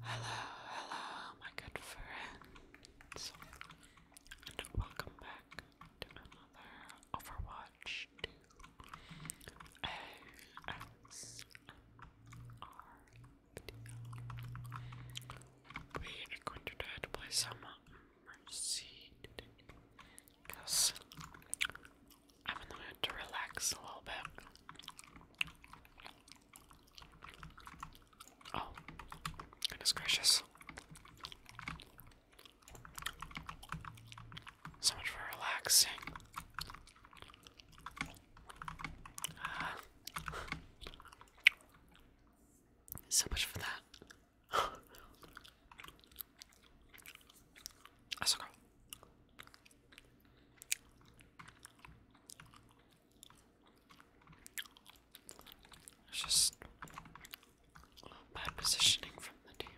Hello, hello, my good friends, welcome back to another Overwatch 2 ASMR video. We are going to play some Mercy because I'm in the mood to relax a little bit. Oh, goodness gracious. So much for relaxing. Uh, so much for that. I okay. It's just bad positioning from the team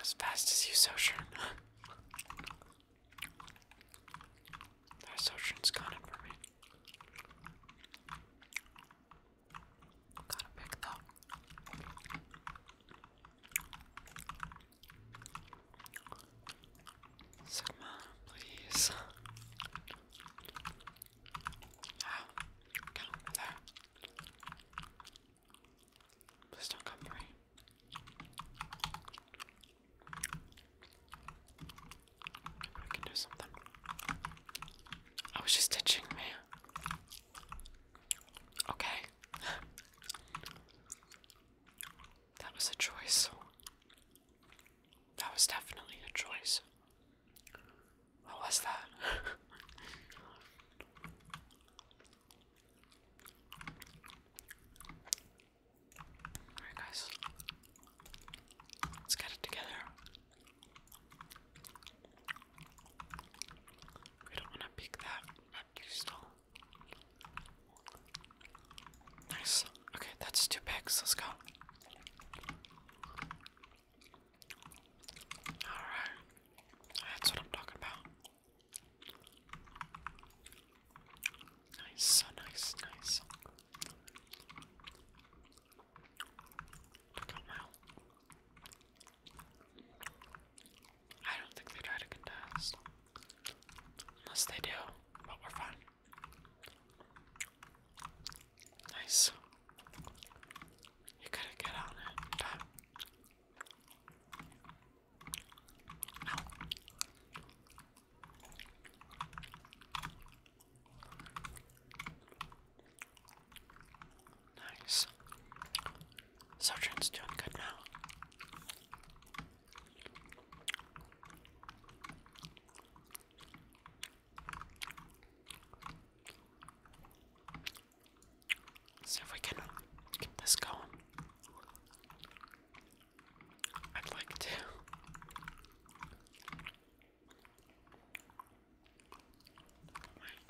as fast as you, Sojourn. that Sojourn's got it for me. Got a pick though. Sigma, please. Ah, get over there. Please don't come for me. I can do something. Oh, she's ditching me. Okay. that was a choice. That was definitely a choice. What was that? Alright, guys. Let's get it together. We don't want to pick that up still. Nice. Okay, that's two picks. Let's go. Alright. That's what I'm talking about. Nice, so nice, nice. Took out I don't think they try to contest. Unless they do, but we're fine. Nice. You gotta get on it. Ow. Nice. Sergeant's doing good now. See if we can keep this going. I'd like to.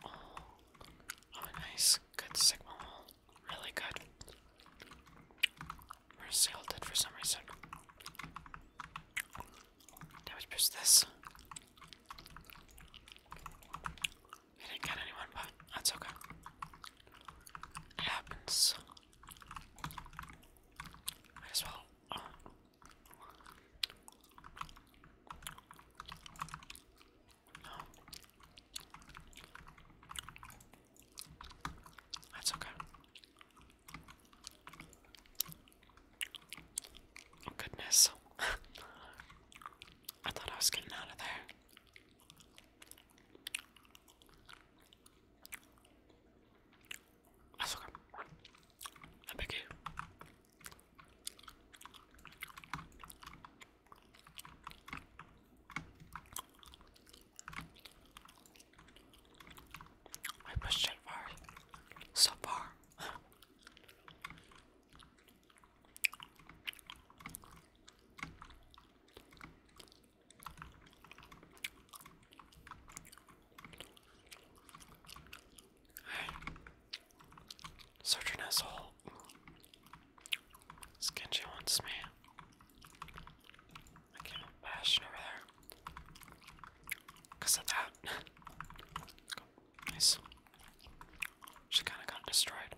oh nice. Good signal. Really good. We're salted for some reason. Now we push this. We didn't get anyone, but that's okay. It happens. Might as well. Uh, that's okay. Oh goodness. I thought I was getting out of there. That's okay. I beg you. I pushed it far. So far. Hey. Surgeon asshole. Skinji me. I can't bash over there. Because of that. Nice. She kind of got destroyed.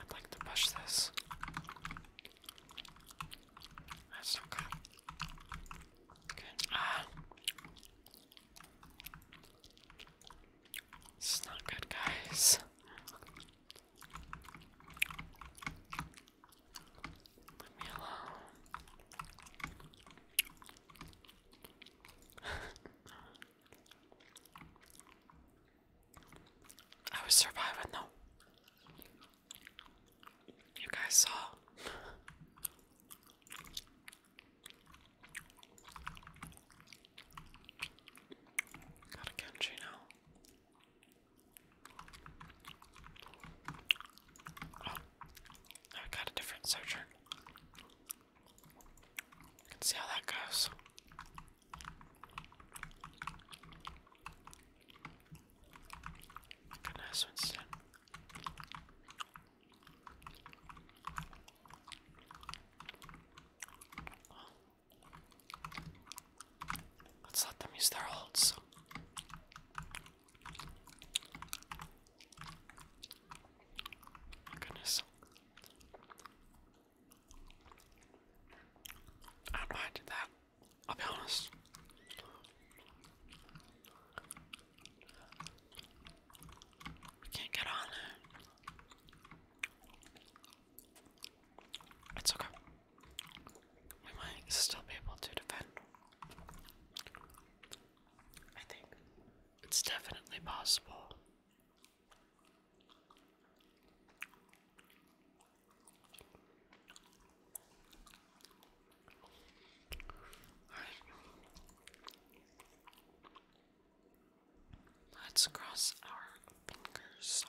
I'd like to push this. That's not good. Good. Ah. This is not good, guys. I was surviving though. You guys saw. Got a Genji now. Oh, I got a different searcher. see how that goes. Goodness, Winston. Let's let them use their holds. goodness. I don't know why I did that. I'll be honest. We can't get on It's okay. We might still be able to defend. I think it's definitely possible. Alright. Let's cross our fingers.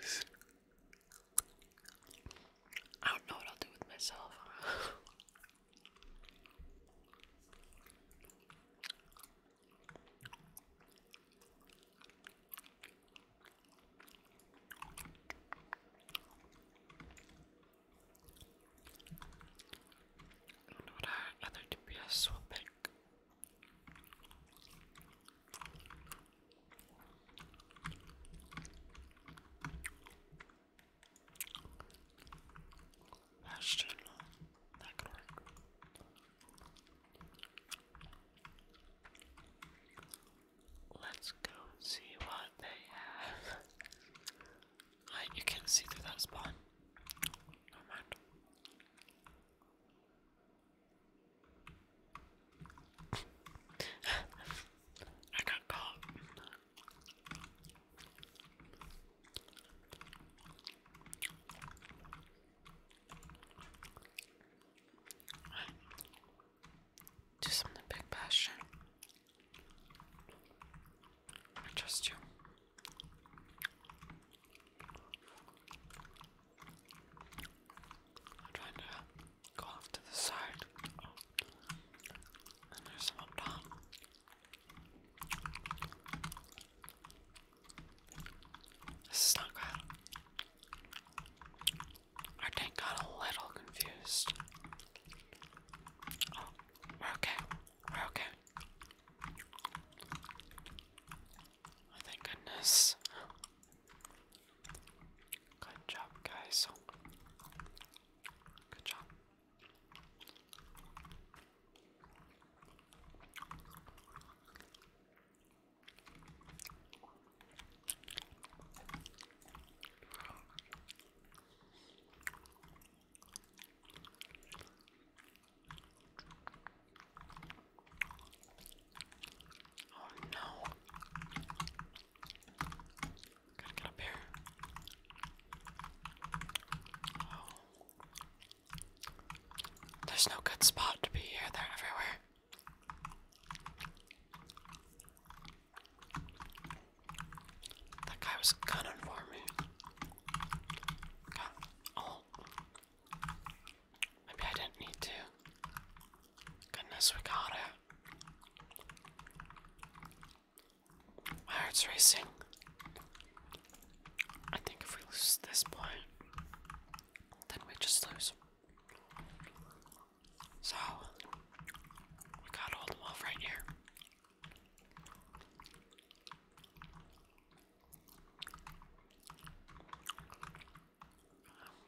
Cause I don't know what I'll do with myself. I don't other DPS will Ashton, that could work. Let's go see what they have you can see through that spawn. No mind. I got caught. Right. Do something big, Bastion. I trust you. I'm trying to go off to the side. there's some up top. This is not good. Our tank got a little confused. Oh, okay okay. Oh, thank goodness. Good job, guys. Good job. Oh no. Gotta get up here. Oh. There's no good spot to be here, they're everywhere. That guy was gunning for me. Oh. Maybe I didn't need to. Goodness, we got it. My heart's racing. I think if we lose this point, then we just lose. So, we gotta hold them right here.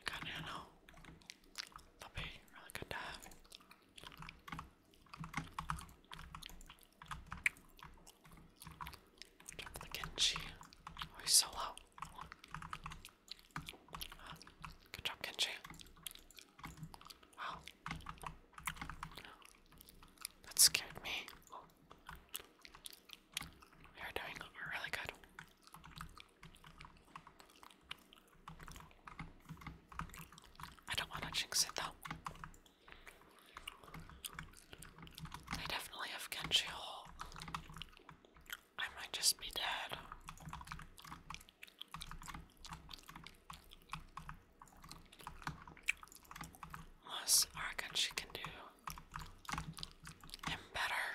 Got nano. That'll be really good to have. Drop the Genji. he's so low. Ah, good job, Genji. Wow. That scared me. We are doing really good. I don't want to jinx it though. I definitely have Genji I might just be dead. What I reckon she can do him better.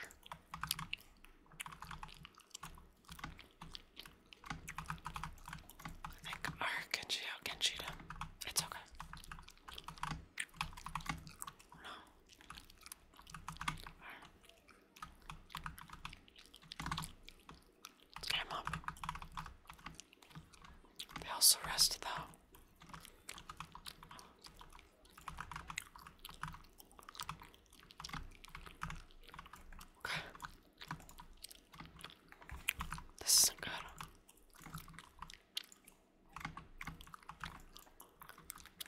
I think I she out can cheat him. It's okay. Let's get him up. They also rest though. This isn't good.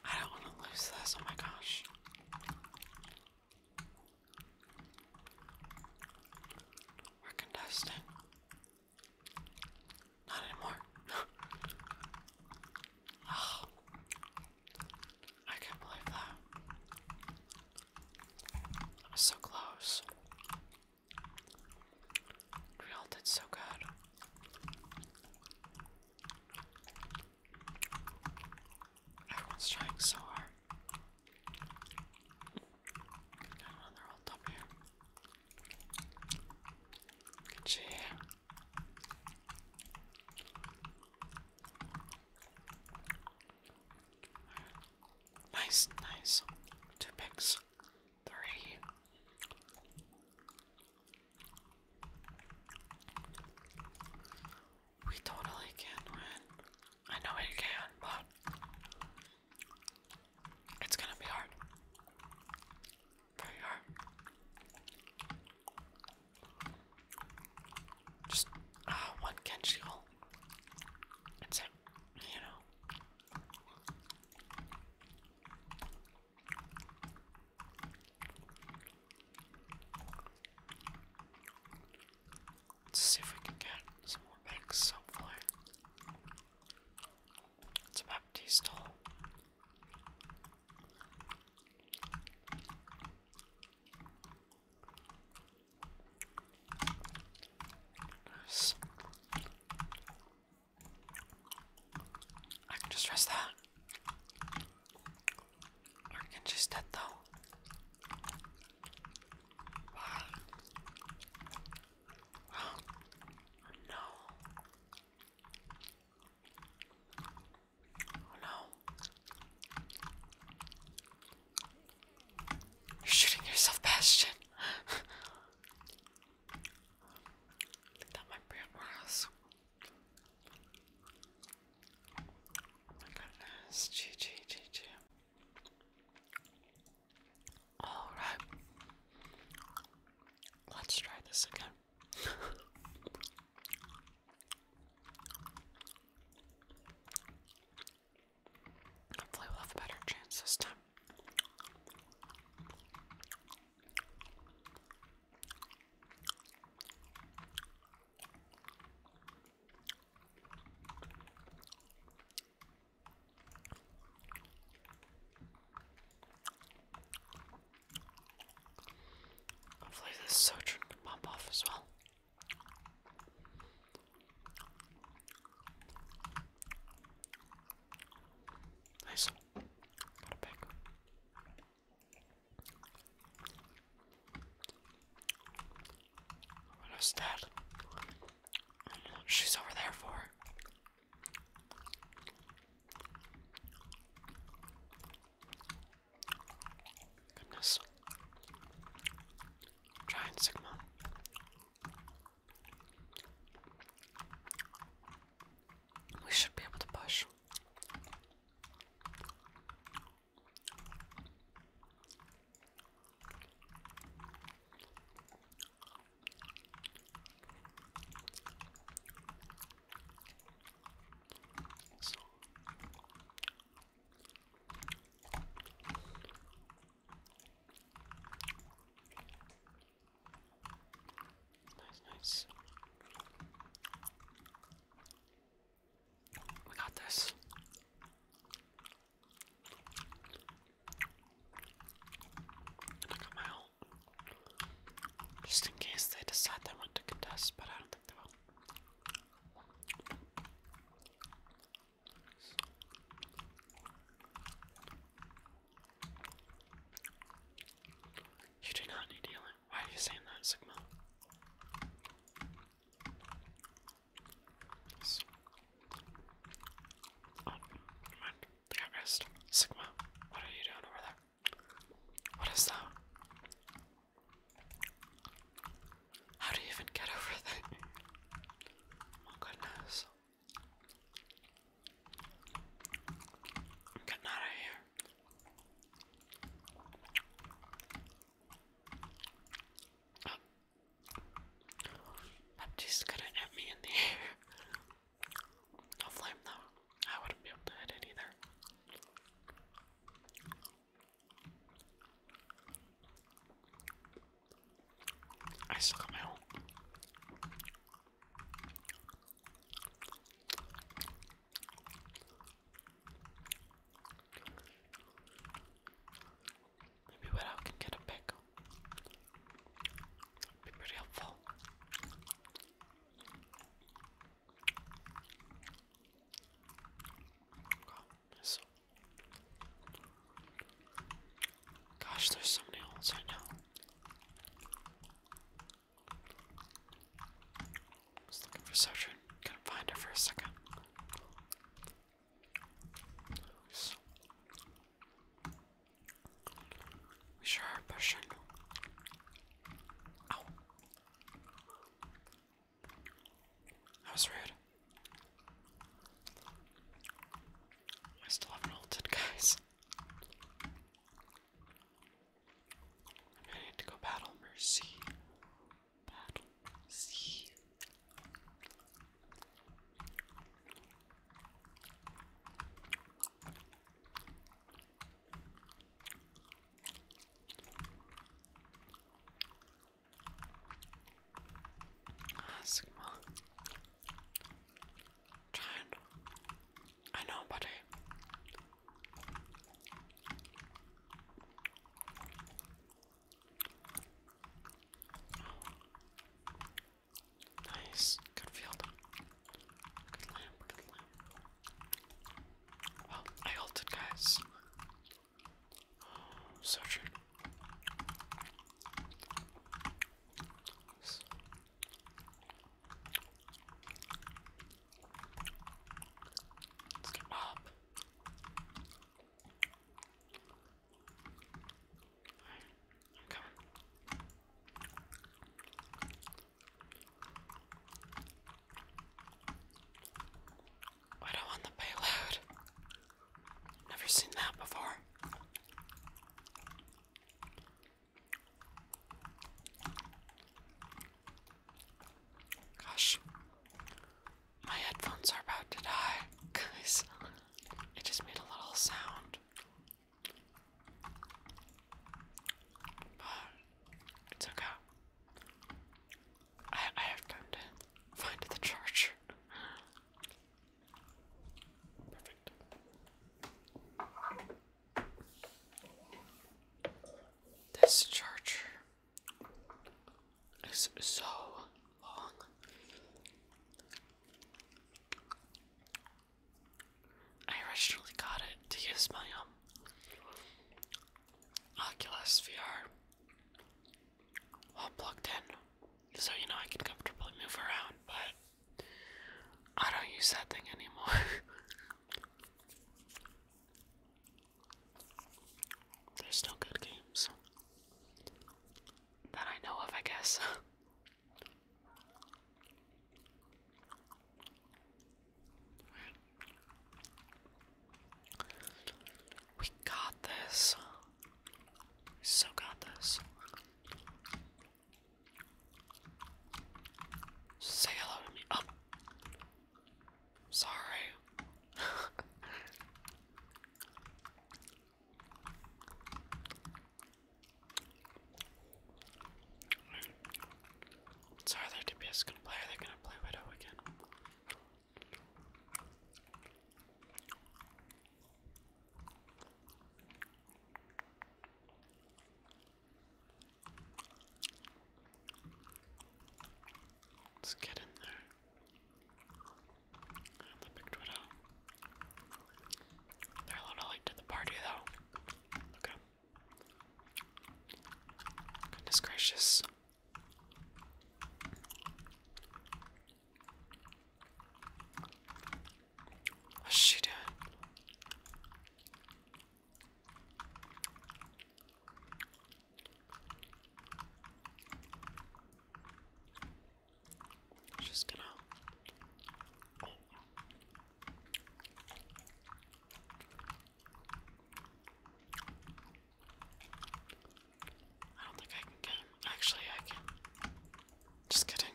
I don't want to lose this. Oh my gosh. We're contesting. Not anymore. oh, I can't believe that. I was so close. We all did so good. Everyone's trying so hard another on top Nice, nice. Two picks. Three. We totally can win. I know it can, but it's gonna be hard. Very hard. Just uh, one Kenshi hole. you know. Let's see if we can get some more banks, hopefully. It's a Baptiste hole. Nice. I can just rest that. I can just dead though. Oh, no. Oh, no. You're shooting yourself, Bastion. that might be worse. Oh my goodness, GG, GG. Alright. Let's try this again. Hopefully, we'll have a better chance this time. Hopefully this sojourn can pop off as well. Nice. Got a pick. What is that? she's over there for. Goodness. Giant Sigma. We should be able to push. So Nice, nice. We got this. going Just in case they decide they want to contest, but I don't think they will. You do not need healing. Why are you saying that, Sigma? So, Sigma, what are you doing over there? What is that? How do you even get over there? My goodness. i out of here. I'm just gonna hit me in the air. No flame though. I wouldn't be able to hit it either. I still got my own. Maybe what can get a pick. Be pretty helpful. Gosh, there's so many holes I know was looking for Sojourn, couldn't find her for a second. We sure are pushing. Ow. That was rude. I still haven't ulted, guys. I need to go battle Mercy bottle C. I know, buddy. Nice. Good field. Good lamp. Good lamp. Well, I ulted, guys. Oh, so true. Let's the payload. Never seen that before. Gosh, my headphones are about to die, guys. It just made a little sound. But it's okay. I, have to find the charger. Perfect. This charger it's so long. I originally got it to use my um Oculus VR while plugged in. So you know I can comfortably move around, but I don't use that thing anymore. There's no good games that I know of, I guess. We got this. so got this. Say hello to me. Oh. Sorry. So are DPS gonna play? Are gonna play Widow again? let get in there. And Twitter. They're a little late to the party though. Look Goodness gracious. What's she doing? Just gonna. I don't think I can get him. Actually, I can. Just kidding.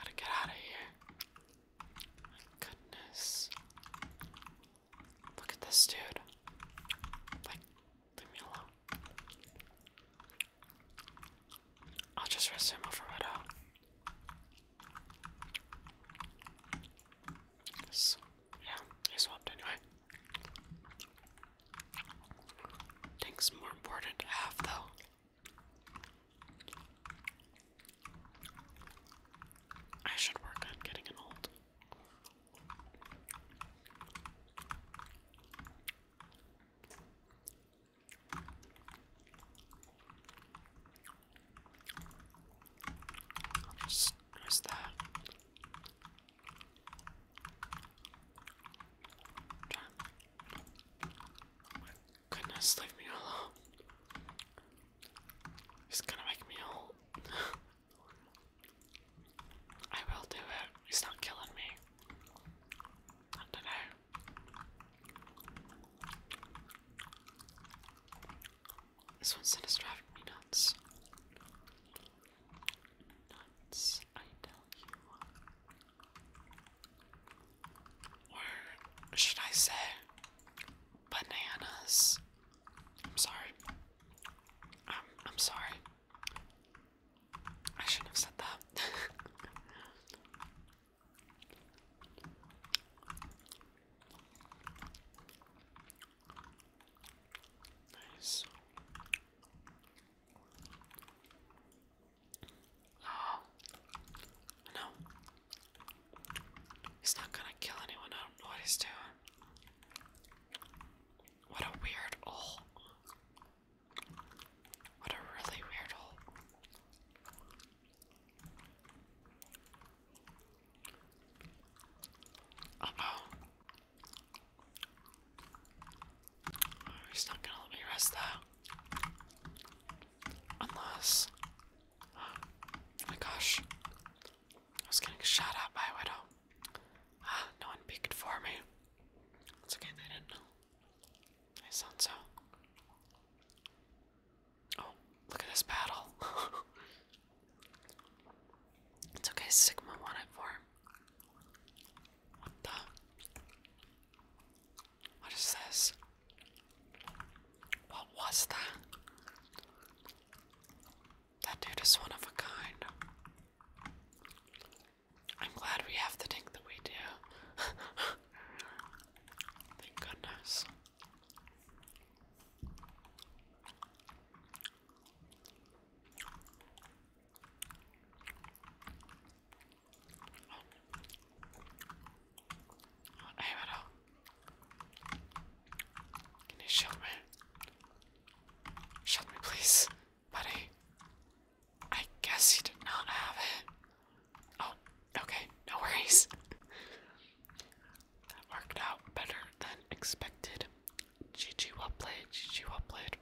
Gotta get out of here. My goodness. Look at this dude. Like, leave me alone. I'll just rest him over right out. So, yeah, he swapped anyway. Things more important to have though. I should work on getting an old. i just that. Try. Oh my goodness, leave me alone. It's gonna make me old. I will do it. It's not killing me. Not today. This one's driving me nuts. Nuts, I tell you. Or should I say bananas? I'm sorry. I'm, um, I'm sorry. I shouldn't have said that. nice. Oh. No. He's not gonna kill anyone. I don't know what he's doing. What a weird hole. What a really weird hole. oh. He's not gonna let me rest though. Unless. Oh my gosh. I was getting shot at by a widow. Ah, no one peeked for me. It's okay, they didn't know. I sound so. Oh, look at this battle. it's okay, Sigma won it for what the? What is this? What was that? That dude is one of a kind. I'm glad we have the thing that we do. Thank goodness. Hey, Meadow. Can you shoot me? Shoot me, please, buddy. I guess he did not have it. Oh, okay, no worries. that worked out better than expected. GG well played, GG well played.